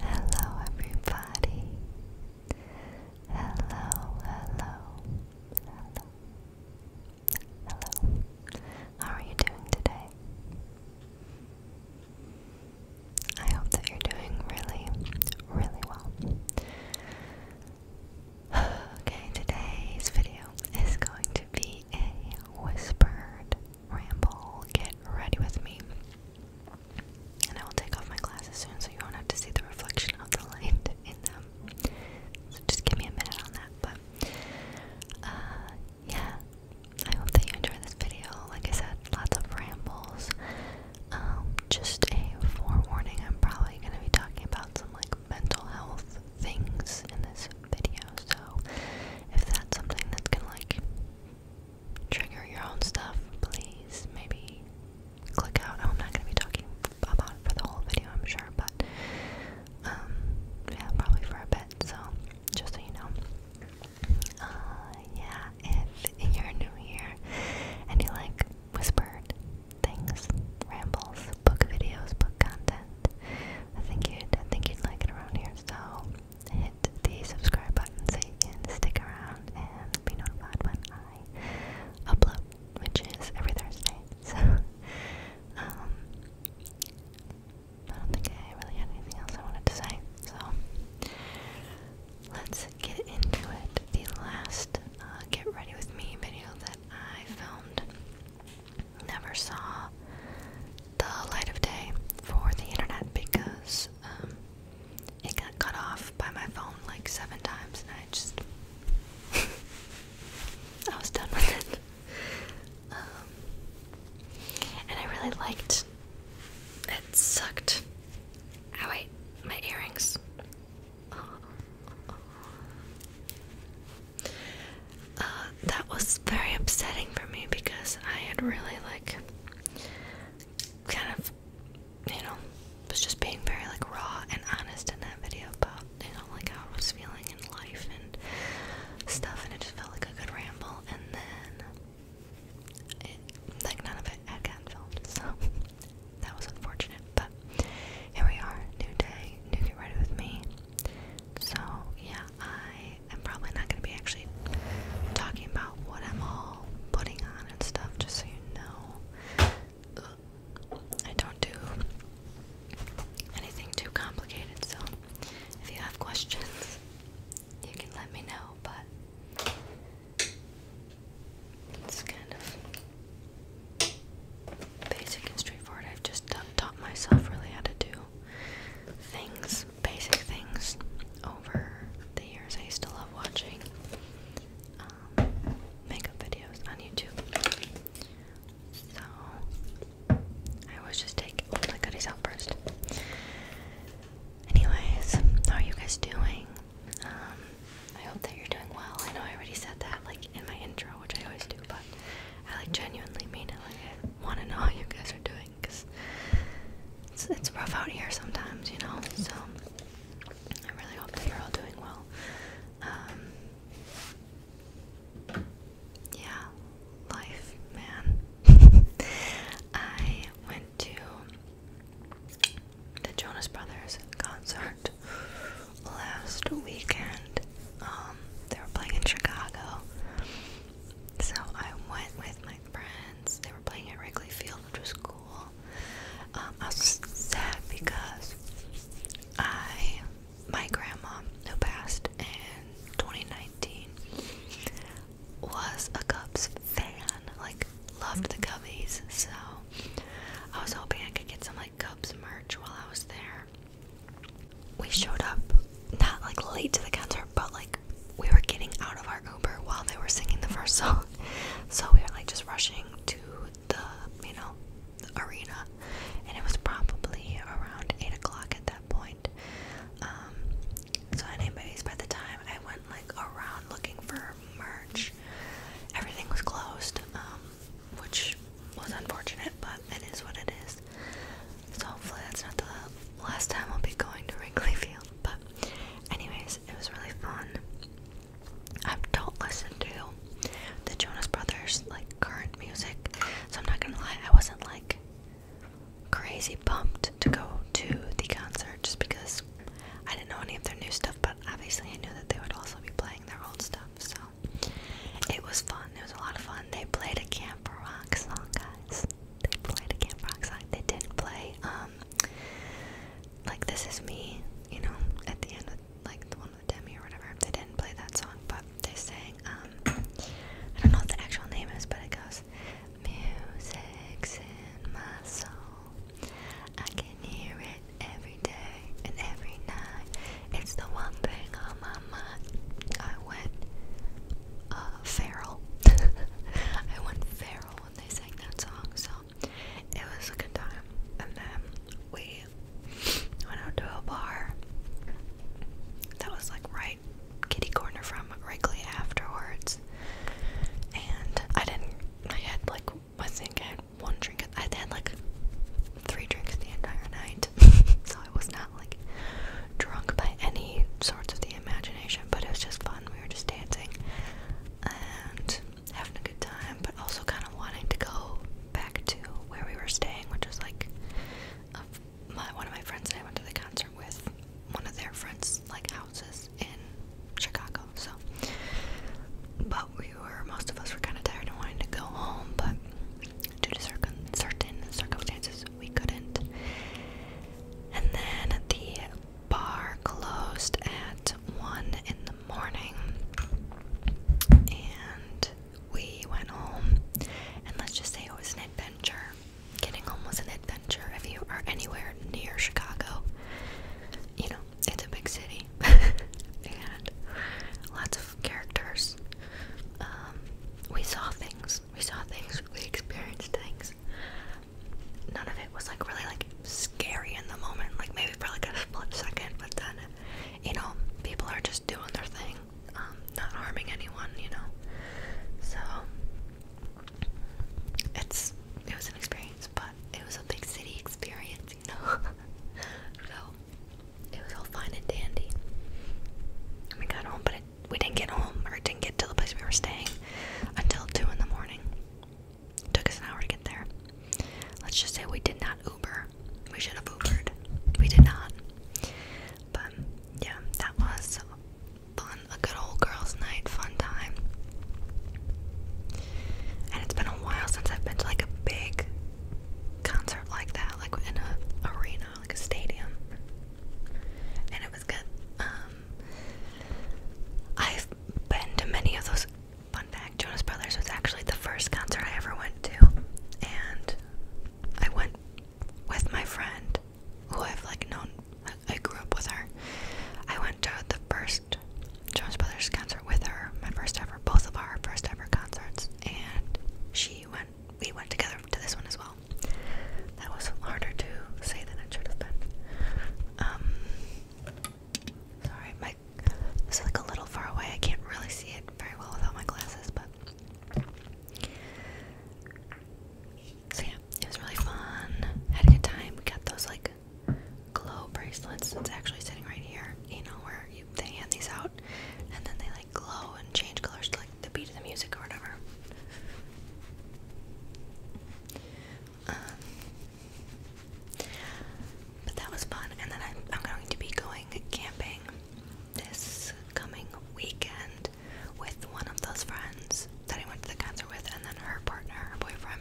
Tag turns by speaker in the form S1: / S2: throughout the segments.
S1: Hello, everybody. Hello, hello, hello, hello. How are you doing today? I hope that you're doing really, really well. Okay, today's video is going to be a whispered ramble. Get ready with me. And I will take off my glasses soon so you won't have to see the reflection of the light in them. So just give me a minute on that. But uh, yeah, I hope that you enjoy this video. Like I said, lots of rambles. Um, just a forewarning, I'm probably going to be talking about some like mental health things in this video. So if that's something that's going to like trigger your own stuff, please maybe click out. I'm not gonna be talking about it for the whole video, I'm sure, but um, yeah, probably for a bit. So just so you know, uh, yeah, if you're new here and you like whispered things, rambles, book videos, book content, I think you'd think you'd like it around here. So hit the subscribe button so you can stick around and be notified when I upload, which is every Thursday. So, um, I don't think I really had anything else I wanted to say. So, let's get into it. The last uh, Get Ready With Me video that I filmed never saw the light of day for the internet because um, it got cut off by my phone like seven times, and I just I was done with it. Um, and I really liked. It sucked. Oh wait, my earrings. Uh, that was very upsetting for me because I had really like kind of, you know, was just being very like raw and honest in that video about, you know, like how I was feeling in life and stuff, and it just felt like a good ramble. And then, it, like, none of it had gotten filmed, so that was unfortunate. But here we are, new day, new get ready with me. So, yeah, I I'm probably not going to be actually talking about what I'm all putting on and stuff, just so you know. I don't do anything too complicated, so if you have questions, you can let me know, but it's kind of basic and straightforward. I've just taught myself really how to do things basic things, over the years. I used to love watching um, makeup videos on YouTube. So, I always just take all oh, my goodies out first. Anyways, how are you guys doing? Um, I hope that you're doing well. I know I already said that, like, in my intro, which I always do, but I, like, genuinely mean it. Like, I want to know how you guys are doing because it's, it's rough out here sometimes, you know. So I really hope that you're all doing well. Um, yeah, life, man. I went to the Jonas Brothers concert last weekend. Um, they were playing in Chicago. So I went with my friends. They were playing at Wrigley Field, which was um, I was sad because I, my grandma who passed in 2019, was a Cubs fan. Like loved the Cubbies, so I was hoping I could get some like Cubs merch while I was there. We showed up not like late to the counter, but like we were getting out of our Uber while they were singing the first song. So we were like just rushing to the, you know, arena. And it was probably around 8 o'clock at that point. Um, so, anyways, by the time I went like around looking for merch, everything was closed, um, which was unfortunate, but it is what it is. So, hopefully, that's not the last time I'll be going to Wrigley Field. But, anyways, it was really fun. I don't listen to the Jonas Brothers like current music, so I'm not gonna lie, I wasn't like crazy pumped to go to the concert just because I didn't know any of their new stuff, but obviously I knew that they would also be playing their old stuff, so it was fun. It was a lot of fun. They played a Camp Rock song, guys. They played a Camp Rock song. They did not play um like this is me, you know, at the end of like the one with Demi or whatever. They didn't play that song, but they sang. Um, I don't know what the actual name is, but it goes, Music in my soul, I can hear it every day and every night. It's the one thing on my mind." I went uh, feral. I went feral when they sang that song, so it was a good time. And then we went out to a bar that was like right kitty corner from Wrigley afterwards. And I didn't, I had like, I think one drink, I had like three drinks the entire night, so I was not like drunk by any sorts of the imagination but it was just fun. We were just dancing and having a good time, but also kind of wanting to go back to where we were staying, which was like one of my friends and I went to the concert with one of their friends' like houses in Chicago. So, but we were most of us were kind of tired and wanting to go home, but due to certain circumstances, we couldn't. And then the bar closed at 1 in the morning and we went home and let's just say it was an adventure getting home was an adventure if you are anywhere near chicago you know it's a big city and lots of characters um, we saw things we saw things we experienced things none of it was like really like scary in the moment. Like maybe for like a split second, but then you know people are just doing their thing, um, not harming anyone. You know, so it's it was an experience, but it was a big city experience. You know, so it was all fine and dandy. we got home, but we didn't get home or didn't get to the place we were staying until 2 in the morning. Took us an hour to get there. Let's just say we did not Uber. We should have Ubered. We did not. But yeah, that was fun. A good old girls' night, fun time. And it's been a while since I've been to like a big concert like that, like in a arena, like a stadium. And it was good. Um, I've been to many of those. Fun fact Jonas Brothers was actually the first concert I ever went to. And I went with my friend who I've like known, I grew up with her. I went to the first Jonas Brothers concert with her, my first ever, both of our first ever concerts. And she went, we went together to this one as well. That was harder to say than it should have been. Um, sorry, my it's like a little far away. I can't really see it very well without my glasses, but so yeah, it was really fun. Had a good time. We got those like glow bracelets. It's actually sitting right here. You know where they hand these out, and then they like glow and change colors to like the beat of the music or whatever. Um, but that was fun, and then I'm, going to be going camping this coming weekend with one of those friends that I went to the concert with, and then her partner, her boyfriend,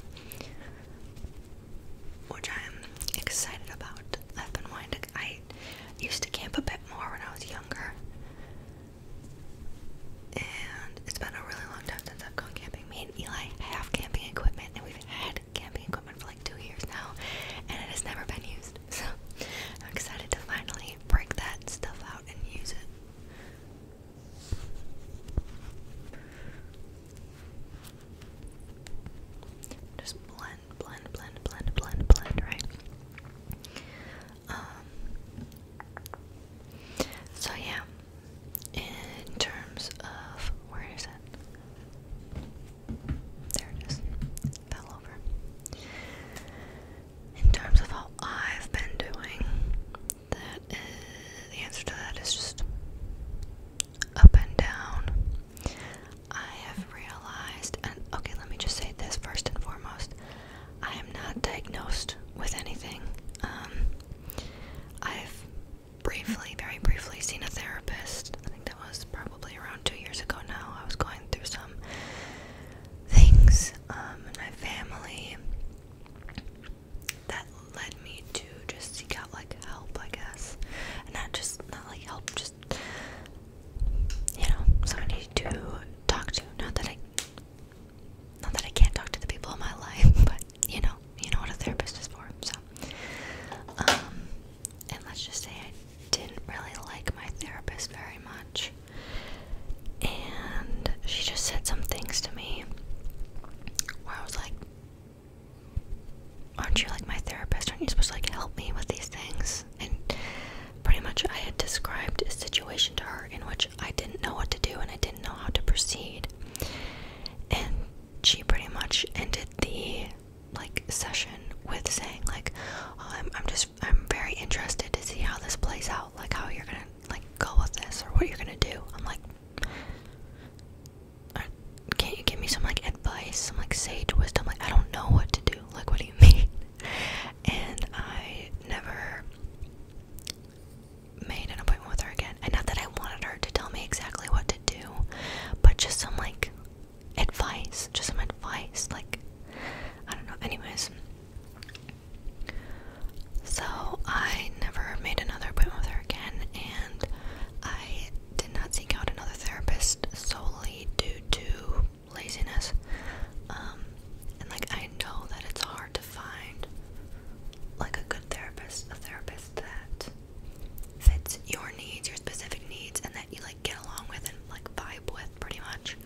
S1: which I'm excited about. I've been wanting I used to camp a bit more when I was younger, and it's been a really long time since I've gone camping. Me and Eli have camping equipment, and we've had camping equipment for like two years now, and it has never been used. So I'm excited to finally break that stuff out and use it. Just blend, blend, blend, blend, blend, blend, right? Um, so yeah, in terms of where is it? There it is. Fell over. In terms of how I've been doing, that is, the answer to that is just up and down. I have realized, and okay, let me just say this first and foremost. I am not diagnosed with anything. Um, I've briefly, very briefly, seen a therapist. I think that was probably around two years ago now. I was going through some things um, in my family that led me to just seek out like help, I guess. And not just, not like help, just, you know, somebody to talk to. Not that I not that I can't talk to the people in my life, but you know, you know what a therapist is for. So, um, and let's just say I didn't really like my therapist very much, and she just said some things to me where I was like, "Aren't you like my therapist? Aren't you supposed to like help me with these things?" And pretty much, I had described a situation to her in which I didn't know what to do and I didn't know how to proceed. And she pretty much ended the like session with saying like, oh, I'm just I'm very interested to see how this plays out, like how you're gonna like go with this or what you're gonna do. I'm like, uh, can't you give me some like advice, some like sage wisdom? Like I don't know what to do. Like what do you mean? And I never made an appointment with her again. And not that I wanted her to tell me exactly what to do, but just some like advice. Just some advice. Like, I don't know. Anyways. So I never made another appointment with her again, and I did not seek out another therapist solely due to laziness. Um, and like I know that it's hard to find like a good therapist, a therapist that fits your needs, your specific needs, and that you like get along with and like vibe with pretty much.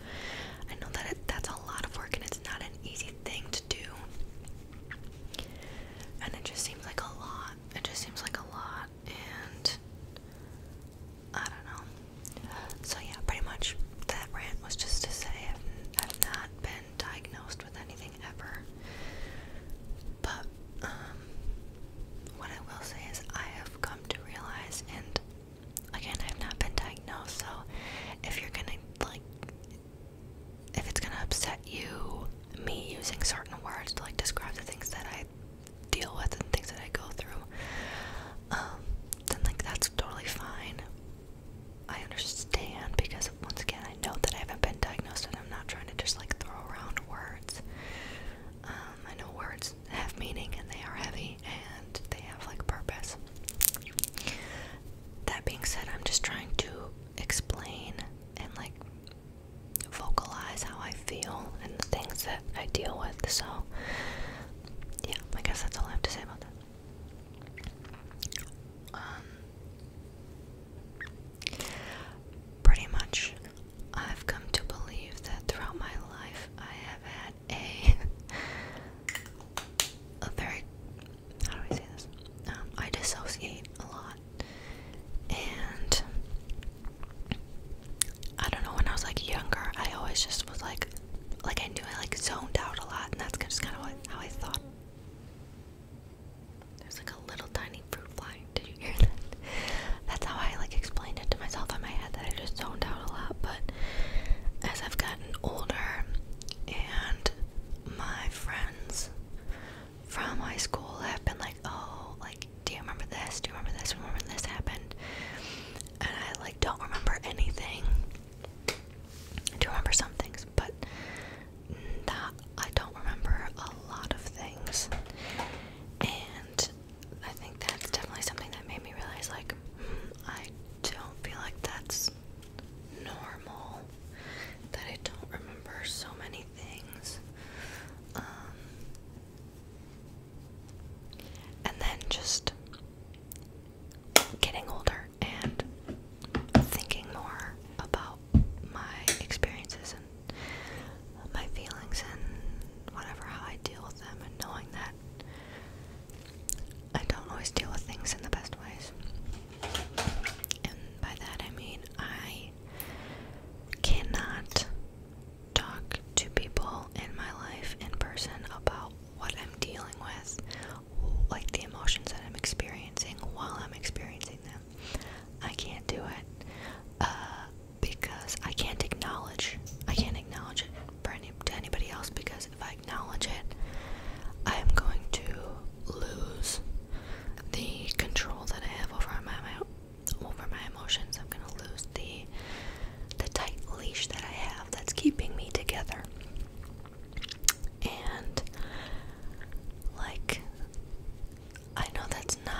S1: I know that it, that's a lot of work and it's not an easy thing to do. And it just seems like a lot. It just seems like a lot and I don't know. So yeah, pretty much that rant was just to say I've, I've not been diagnosed with anything ever. But um, what I will say is, I have come to realize, and again, I've not been diagnosed, so if you're gonna like, if it's gonna upset you, me using certain words to like describe the things that I deal with and things that I go through, um, then like that's totally fine. I understand because once again I know that I haven't been diagnosed and I'm not trying to just like throw around words. Um, I know words have meaning and they are heavy and they have like purpose. That being said, I'm just trying to explain and like vocalize how I feel and the things that I deal with. So, yeah, I guess that's all I have to say about that. Um, pretty much, I've come to believe that throughout my life I have had a a very how do I say this? Um, I dissociate a lot, and I don't know. When I was like younger, I always just was like, like I knew I like zoned out a lot, and that's just kind of how I thought there's like a little tiny fruit fly. Did you hear that? That's how I like explained it to myself in my head that I just zoned out a lot. But as I've gotten older and my friends from high school have been like, oh, like, do you remember this? Do you remember this? Remember when this happened? And I like don't remember anything. I do remember some things, but that I don't remember a lot of things. And I think that's definitely something that made me realize like hmm, I don't feel like that's normal that I don't remember so many things. Um, and then just getting older more and thinking more about my experiences and my feelings and whatever how I deal with them and knowing that I don't always deal with things in the best ways. And by that I mean I cannot talk to people in my life in person about what I'm dealing with like the emotions that I'm experiencing while I'm experiencing them. I can't do it uh, because I can't acknowledge. I can't acknowledge it for any, to anybody else because if I acknowledge it, I am going to lose the control that I have over my, my over my emotions. I'm going to lose the the tight leash that I have that's keeping me together. And like I know that's not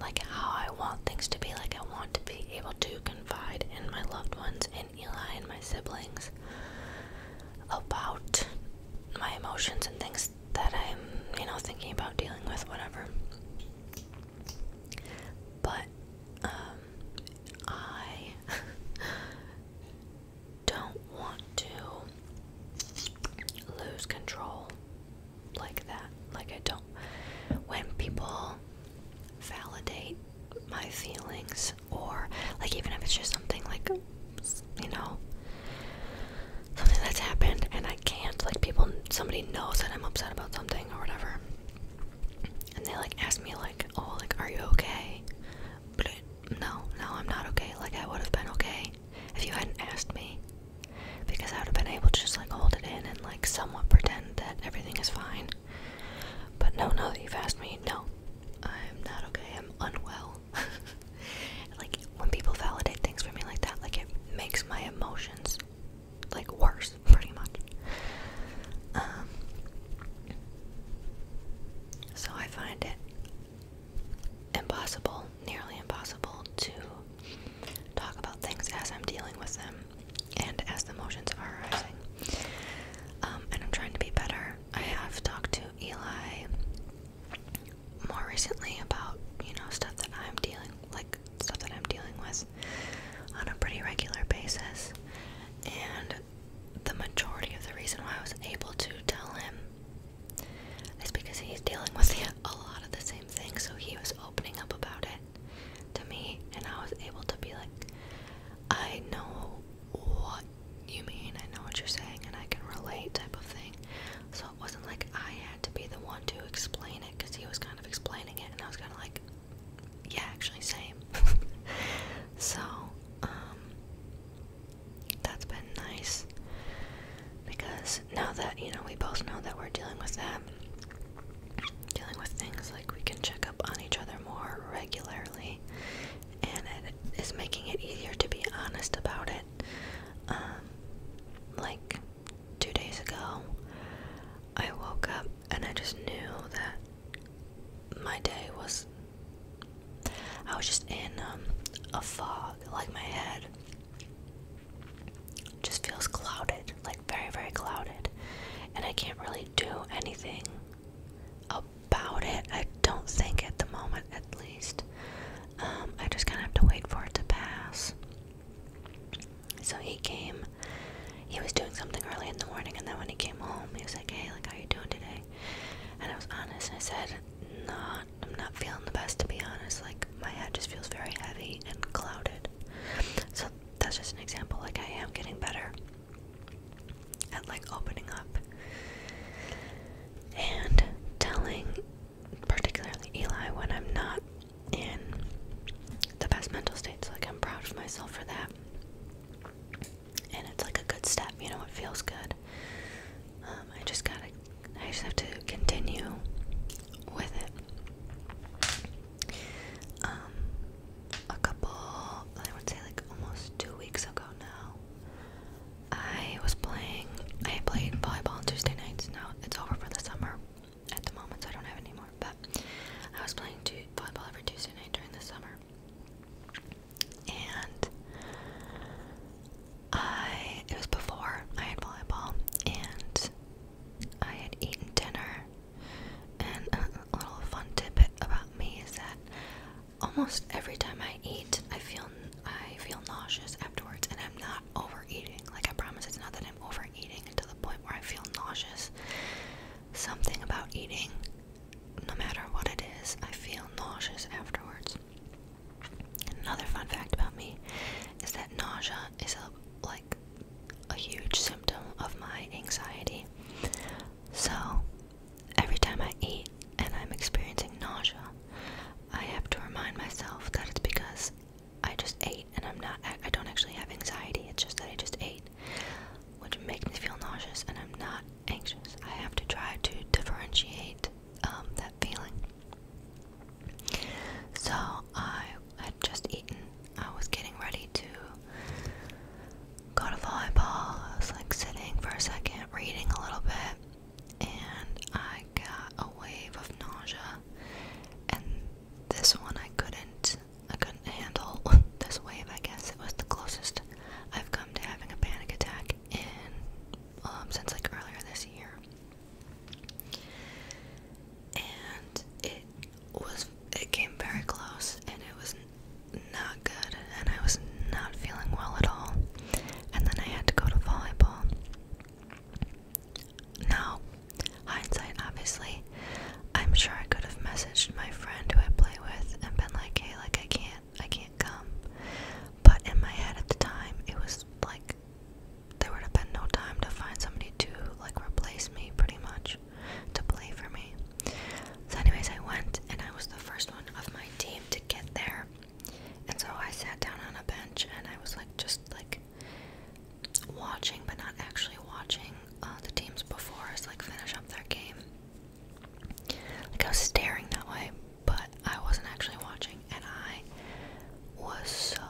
S1: like how I want things to be. Like I want to be able to confide in my loved ones in Eli and my siblings about my emotions and things that I'm, you know, thinking about dealing with, whatever. But um, I don't want to lose control like that. Like, I don't. When people validate my feelings, or like, even if it's just something like, you know, something that's happened and I can't, like, people, somebody knows that I'm upset about something or whatever. And they like ask me like, "Oh, like, are you okay? No, no, I'm not okay. Like, I would have been okay if you hadn't asked me. Because I would have been able to just, like, hold it in and, like, somewhat pretend that everything is fine. But no, no, that you've asked me, no. I'm not okay. I'm unwell. like, when people validate things for me like that, like, it makes my emotions, like, worse, pretty much. Um. So I find it impossible, nearly impossible to talk about things as I'm dealing with them and as the emotions are arising. Um, and I'm trying to be better. I have talked to Eli more recently about, you know, stuff that I'm dealing like stuff that I'm dealing with on a pretty regular basis. And the majority of the reason why I was able to tell him it's because he's dealing with a lot of the same things, so he was opening up about it to me, and I was able to be like, I know what you mean, I know what you're saying, and I can relate, type of thing. So it wasn't like I had to be the one to explain it, because he was kind of explaining it, and I was kind of like, yeah, actually, same. so, um, that's been nice because now that you know we both know that we're dealing with that dealing with things like we can check up on each other more regularly and it is making it easier to be honest about it um, like 2 days ago I woke up and I just knew that my day was I was just in um, a fog, like my head just feels clouded, like very, very clouded, and I can't really do anything about it. I don't think at the moment, at least. Um, I just kind of have to wait for it to pass. So he came. He was doing something early in the morning, and then when he came home, he was like, "Hey, like, how you doing today?" And I was honest, and I said, not I'm not feeling the best to be honest. Like my head just feels very heavy and clouded. So that's just an example. Like I am getting better at like opening up and telling particularly Eli when I'm not in the best mental state. So Like I'm proud of myself for that and it's like a good step you know it feels good um, I just gotta I just have to continue with it um, a couple I would say like almost two weeks ago now I was playing I played volleyball on Tuesday nights now it's over for the summer at the moment so I don't have anymore. but I was playing volleyball every Tuesday night during the summer and I it was before I had volleyball and I had eaten dinner and a little fun tidbit about me is that almost every time I eat I feel I feel nauseous afterwards and I'm not overeating like I promise it's not that I'm overeating to the point where I feel nauseous something about eating no matter what it is I feel nauseous afterwards Another fun fact about me is that nausea is a, like a huge symptom of my anxiety. So every time I eat and I'm experiencing nausea, I have to remind myself that it's because I just ate and I'm not I don't actually have anxiety. It's just that I just ate, which makes me feel nauseous and I'm not anxious. I have to try to differentiate um, that feeling. So I had just eaten. I was getting ready to go to volleyball. I was like sitting for a second, reading a little bit, and I got a wave of nausea. And this one I couldn't. I couldn't handle this wave. I guess it was the closest I've come to having a panic attack in um, since like earlier this year, and it was it came very close, and it was not good, and I was not feeling well at all, and then I had to go to volleyball. Now, hindsight, obviously, I'm sure I could have messaged my friend who I play with and been like, "Hey, like I can't." I can't come. But in my head at the time it was like there would have been no time to find somebody to like replace me pretty much to play for me. So anyways I went and I was the first one of my team to get there. And so I sat down on a bench and I was like just like watching but not actually watching uh, the teams before us like finish up their game. Like I was staring that way, but I wasn't actually watching, and I was so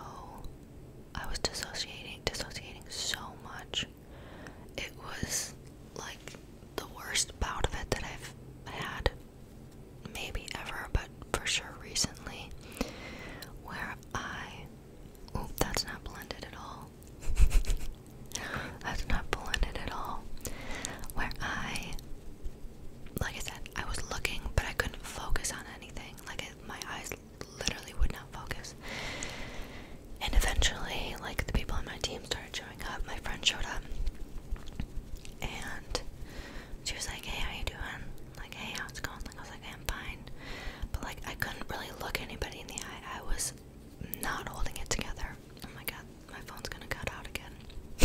S1: I was dissociating, dissociating so much. It was like the worst bout of it that I've had, maybe ever, but for sure recently, where I. Oop, that's not blended at all. that's not blended at all. Where I like I said, I was looking, but I couldn't focus on anything. Like my eyes literally would not focus. And eventually, like the people on my team started showing up. My friend showed up, and she was like, "Hey, how you doing?" Like, "Hey, how's it going?" Like I was like, "I'm fine," but like I couldn't really look anybody in the eye. I was not holding it together. Oh my god, my phone's gonna cut out again.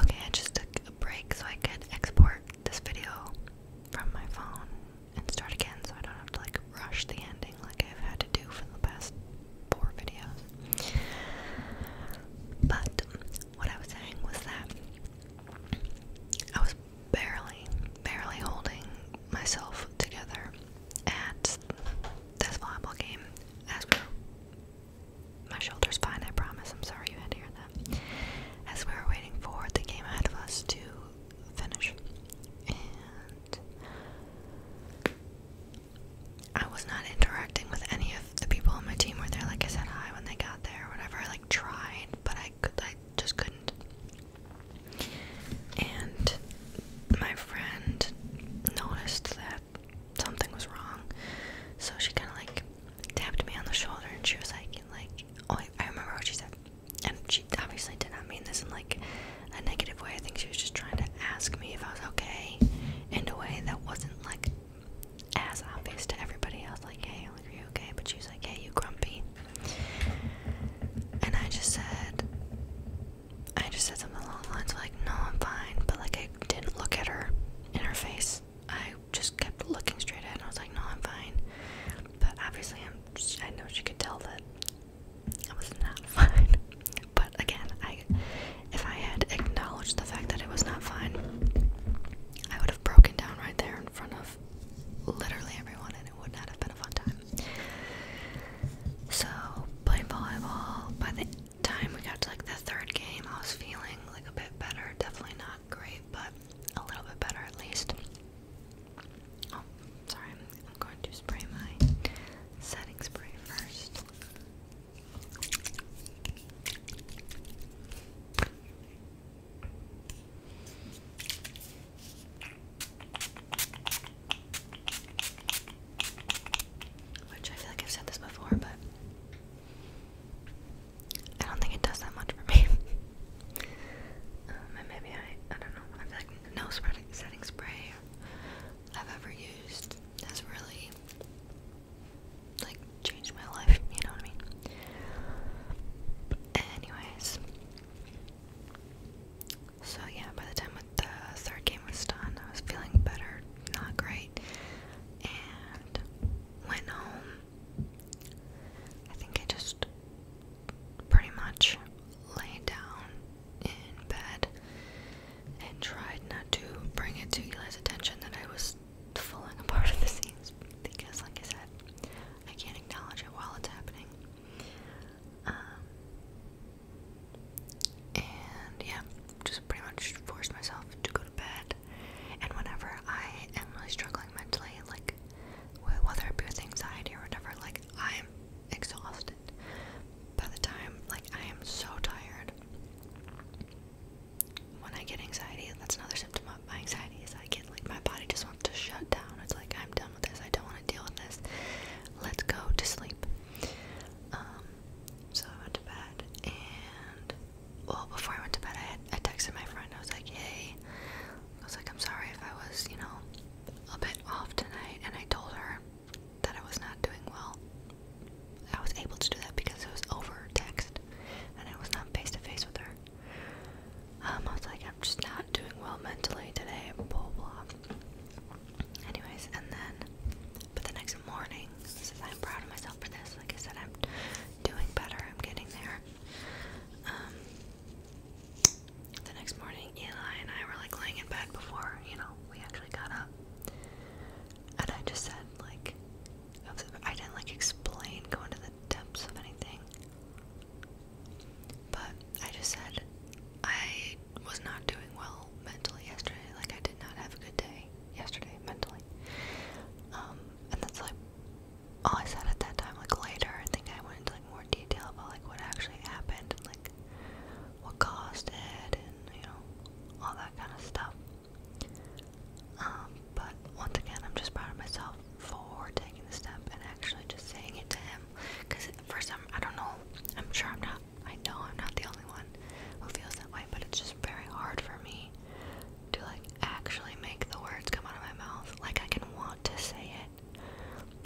S1: okay, I just took a break so I could export this video from my phone and start again so I don't have to like rush the ending like I've had to do for the past four videos. But what I was saying was that I was barely, barely holding myself together at this volleyball game as my shoulder's fine, I promise. I'm sorry you had to hear that. As we were waiting for the game ahead of us to finish, and I was not interacting with any of the people on my team were there. Like I said, hi when they got there, or whatever. I like tried, but I could, I just couldn't. And my friend noticed that something was wrong. So she kind of like tapped me on the shoulder and she was like, like, oh, I remember what she said. And she obviously did not mean this in like a negative way. I think she was just trying to ask me if I was okay in a way that wasn't like as obvious to everybody else. Like, hey, are you okay? But she was like, hey, you grumpy. And I just said, I just said something along the lines of like, no, I'm fine, but like I didn't look at her in her face. I just kept looking straight ahead and I was like, no, I'm fine. But obviously, I'm I know she could tell that I was not fine. But again, I if I had acknowledged the fact that it was not fine, I would have broken down right there in front of literally everyone and it would not have been a fun time. So, playing volleyball, by the time we got to like the third game, I was feeling like a bit better. Definitely not great, but a little bit better at least. Oh, sorry, I'm, going to spray my setting spray first. Which I feel like I've said this before, but I don't think it does that much for me. Um, and maybe I, I don't know. I feel like no spreading, setting spray I've ever used has really like changed my life. You know what I mean? Anyways, so yeah. By the time the third game was done, I was feeling better, not great, and went home. I think I just pretty much laid down in bed and tried not to bring it to Eli's attention that I was falling apart at the scenes because, like I said, I can't acknowledge it while it's happening. Um, and yeah, just pretty much force myself to go to bed. And whenever I am really struggling mentally, like whether it be anxiety or whatever, like I'm exhausted. By the time, like I am so tired. When I get anxiety, that's another symptom of my anxiety is I get like my body just wants to shut down. It's like I'm done with this. I don't want to deal with this. Let's go to sleep. Um, so I went to bed and well before I went to bed I had I texted my friend I was like hey I was like I'm sorry if I was you know a bit off tonight and I told her that I was not doing well I was able to do that because it was over text and I was not face to face with her um, I was like I'm just not doing well mentally today blah blah anyways and then but the next morning, I'm proud of myself for this. Like I said, I'm doing better. I'm getting there. Um, the next morning, Eli and I were like laying in bed before, you know, we actually got up. And I just said, like, I didn't like explain, going to the depths of anything. But I just said, I was not doing well mentally yesterday. Like, I did not have a good day yesterday mentally. Um, and that's like all I said at that time. Like later, I think I went into like more detail about like what actually happened and like what caused it and you know all that kind of stuff. Um, but once again, I'm just proud of myself for taking the step and actually just saying it to him. Cause at first, I'm I know. I'm sure I'm not I know I'm not the only one who feels that way, but it's just very hard for me to like actually make the words come out of my mouth. Like I can want to say it,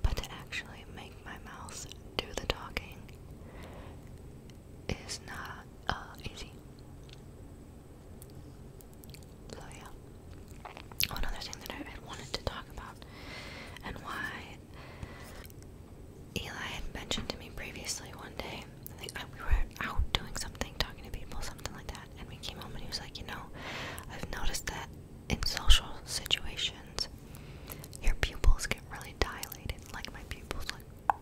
S1: but to actually make my mouth do the talking is not uh, easy. So yeah. One other thing that I wanted to talk about and why Eli had mentioned to me previously one day. Uh, we were out doing something, talking to people, something like that, and we came home and he was like, you know, I've noticed that in social situations, your pupils get really dilated. Like my pupils like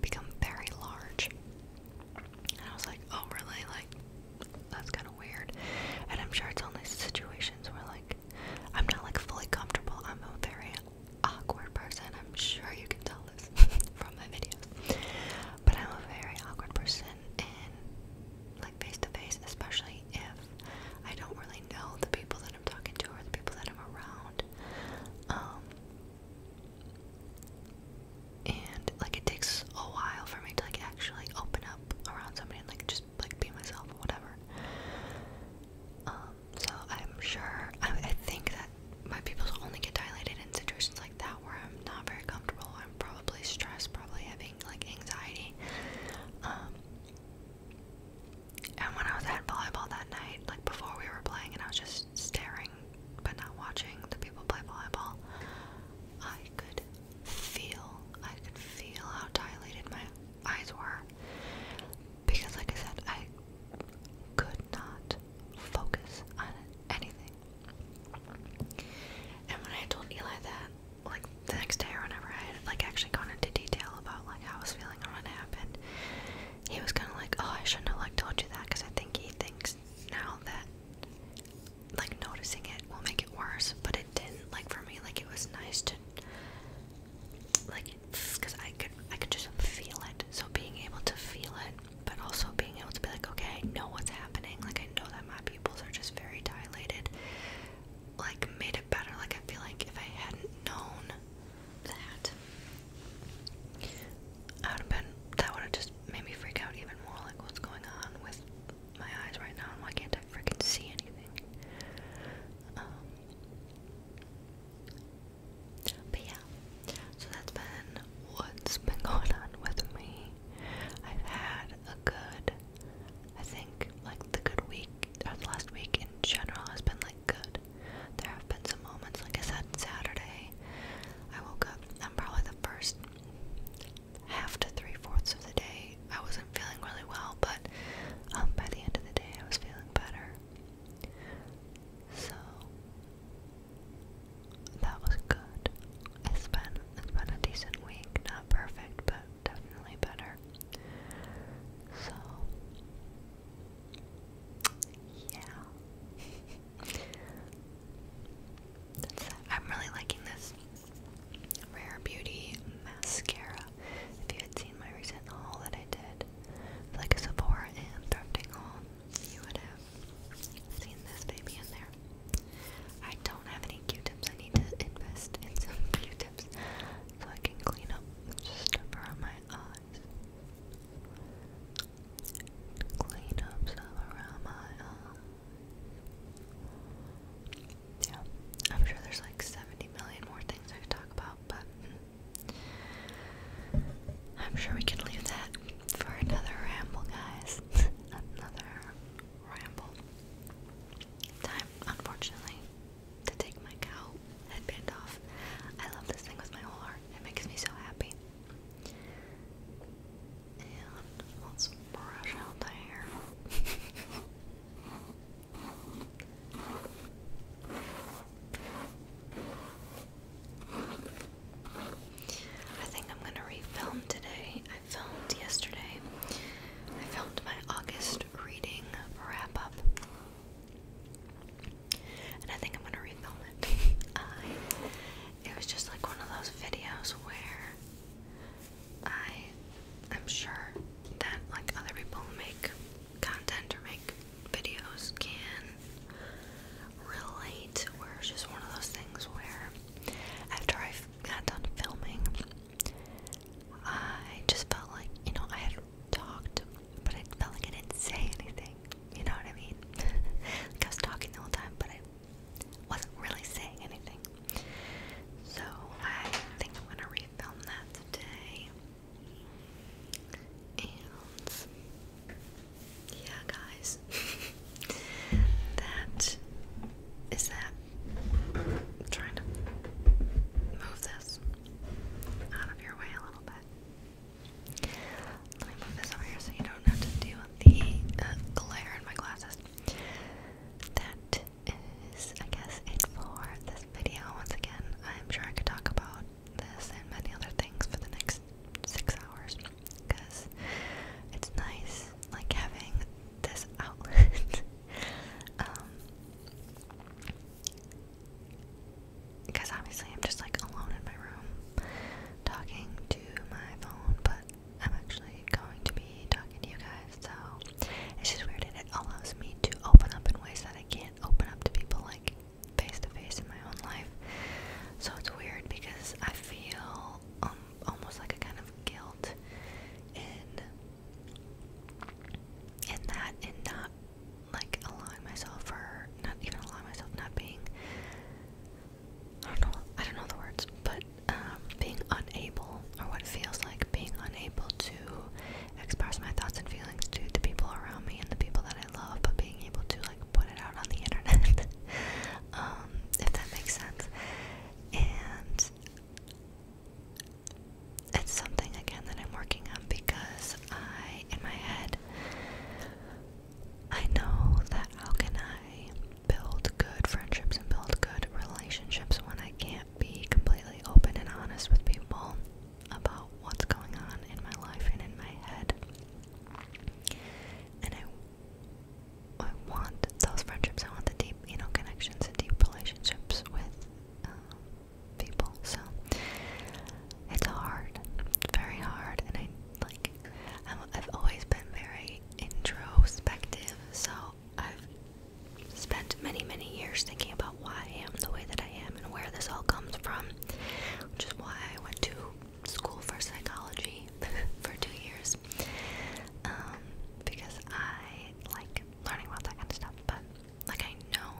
S1: become very large. And I was like, oh really? Like that's kind of weird. And I'm sure it's only situations where like I'm not like fully comfortable. I'm a very awkward person. I'm sure you can tell this from my videos. But I'm a very awkward person and like face to face, especially if I don't really know the people that I'm talking to or the people that I'm around. Um, and like it takes a while for me to like actually open up around somebody and like just like be myself or whatever. Um, so I'm sure, I, think that my pupils will only get dilated in situations like that where I'm not very comfortable. I'm probably stressed, probably having like anxiety. Um, and when I was at volleyball that night, like before we were playing, and I was just staring but not watching the people play volleyball, I could feel, I could feel how dilated my eyes were because, like I said, I could not focus on anything. And when I told Eli that, like the next day or whenever I had like actually gone into detail about like how I was feeling or what happened, he was kind of like, "Oh, I shouldn't have like told you that," because I think he thinks now that like noticing it will make it worse, but it didn't. Like for me, like it was nice to like because I could I could just feel it. So being able to feel it, but also being able to be like, okay, know what's happening. Like I know that my pupils are just very dilated. Like made it better. Like I feel like if I hadn't known that, I would have been. That would have just made me freak out even more. Like what's going on with my eyes right now, why can't I freaking see anything? Um, but yeah, so that's been what's been going on with me. I've had a good, I think, like the good week, or the last week in general has been like good. There have been some moments, like I said, Saturday, I woke up, and probably the first half to three fourths of the day, I wasn't feeling really well, but um, by the end of the day, I was feeling better. So that was good. It's been it a decent week, not perfect, but definitely better. So yeah. I'm really liking this Rare Beauty mascara. If you had seen my recent haul that I did, like a Sephora and thrifting haul, you would have seen this baby in there. I don't have any Q-tips. I need to invest in some Q-tips so I can clean up just around my eyes. Clean up stuff around my eyes. Yeah, I'm sure there's like 70 million more things I could talk about, but mm, I'm sure we can leave that for another ramble, guys. another ramble. Time, unfortunately, to take my cow headband off. I love this thing with my whole heart. It makes me so happy. And let's brush out the hair. I think I'm gonna refilm today. I filmed yesterday. I filmed my August reading wrap up. And I think I'm gonna refilm it. it was just like one of those videos where I I'm sure that like other people make content or make videos can relate, where it's just one of those things where after I got done filming, I just felt like, you know, I had talked, but I felt like I didn't say anything. You know what I mean? like I was talking the whole time, but I wasn't really saying anything. So I think I'm gonna refilm that today yeah, guys, that is that. I'm trying to move this out of your way a little bit. Let me move this over here so you don't have to deal with the glare in my glasses. That is, I guess, it for this video. Once again, I'm sure I could talk about this and many other things for the next six hours because it's nice like having this outlet. um, because obviously I'm just like alone in my room talking to my phone, but I'm actually going to be talking to you guys, so it's just weird and it allows me to open up in ways that I can't open up to people like face to face in my own life. So it's weird because I feel um, almost like a kind of guilt in in that in not like allowing myself for not even allowing myself not being I don't know I don't know the words but um, being unable or what feels like being unable to express my thoughts and feelings to the people around me and the people that I love but able to like put it out on the internet, um, if that makes sense. And it's something again that I'm working on because I, in my head, I know that how can I build good friendships and build good relationships when I can't be completely open and honest with people about what's going on in my life and in my head. And I, I want those friendships. I want the deep, you know, connections and deep relationships with um, people. So it's hard, very hard. And I like, I've always been very introspective. So I've spent many, many years thinking about why I am the way that I am and where this all comes from which is why I went to school for psychology for two years. Um, because I like learning about that kind of stuff, but like I know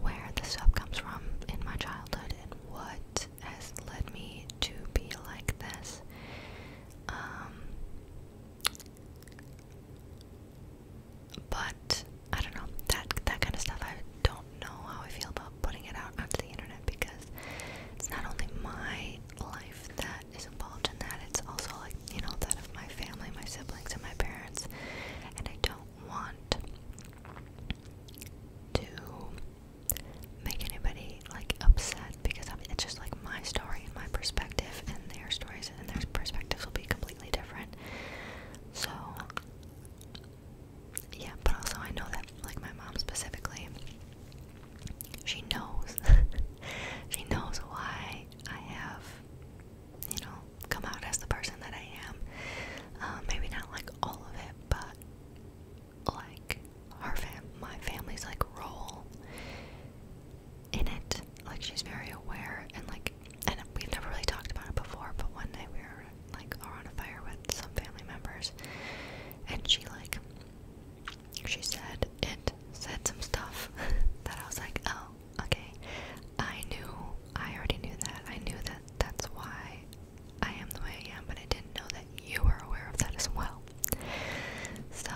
S1: where this stuff comes from in my childhood and what has led me to be like this. Um, but I don't know that that kind of stuff. I don't know how I feel about putting it out onto the internet because it's not only my life that is involved in that, it's also like you know that of my family, my siblings, and my parents, and I don't want to make anybody like upset because it's just like my story and my perspective, and their stories and their perspectives will be completely different. So yeah, but also I know that like my mom specifically, she knows, she knows why I have, you know, come out as the person that I am. Um, maybe not like all of it, but like our fam, my family's like role in it. Like she's very aware and like and we've never really talked about it before, but one night we were like on a fire with some family members, and she like she said it said some stuff that I was like, oh, okay, I knew I already knew that I knew that that's why I am the way I am, but I didn't know that you were aware of that as well. So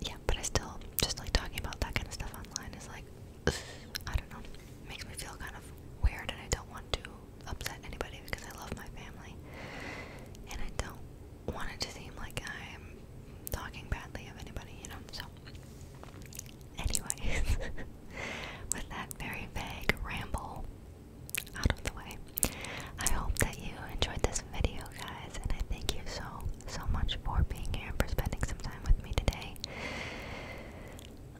S1: yeah, but I still just like talking about that kind of stuff online is like I don't know. Makes me feel kind of weird, and I don't want to upset anybody because I love my family, and I don't want it to seem like I'm talking badly of anybody, you know. So, anyways, with that very vague ramble out of the way, I hope that you enjoyed this video, guys, and I thank you so so much for being here and for spending some time with me today.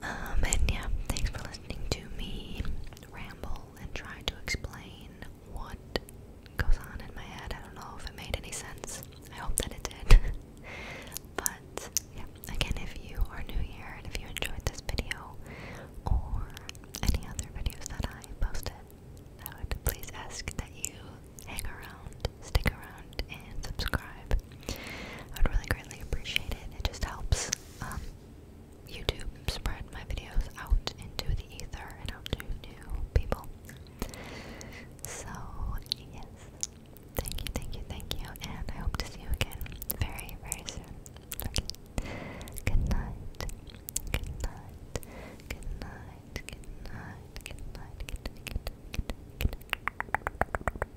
S1: Um, and yeah, thanks for listening to me ramble and try to explain what goes on in my head. I don't know if it made any sense. I hope that it did. but yeah, again, if you are new here and if you enjoyed this video or any other videos that I posted, I would please ask that you hang around, stick around, and subscribe. I'd really greatly appreciate it. It just helps um, YouTube spread my videos out into the ether and out to new people. So, yes. Thank you, thank you, thank you. And I hope to see you again very, very soon. Good night. Good night. Good night. Good night. Good night. Good night. Good night. Good night.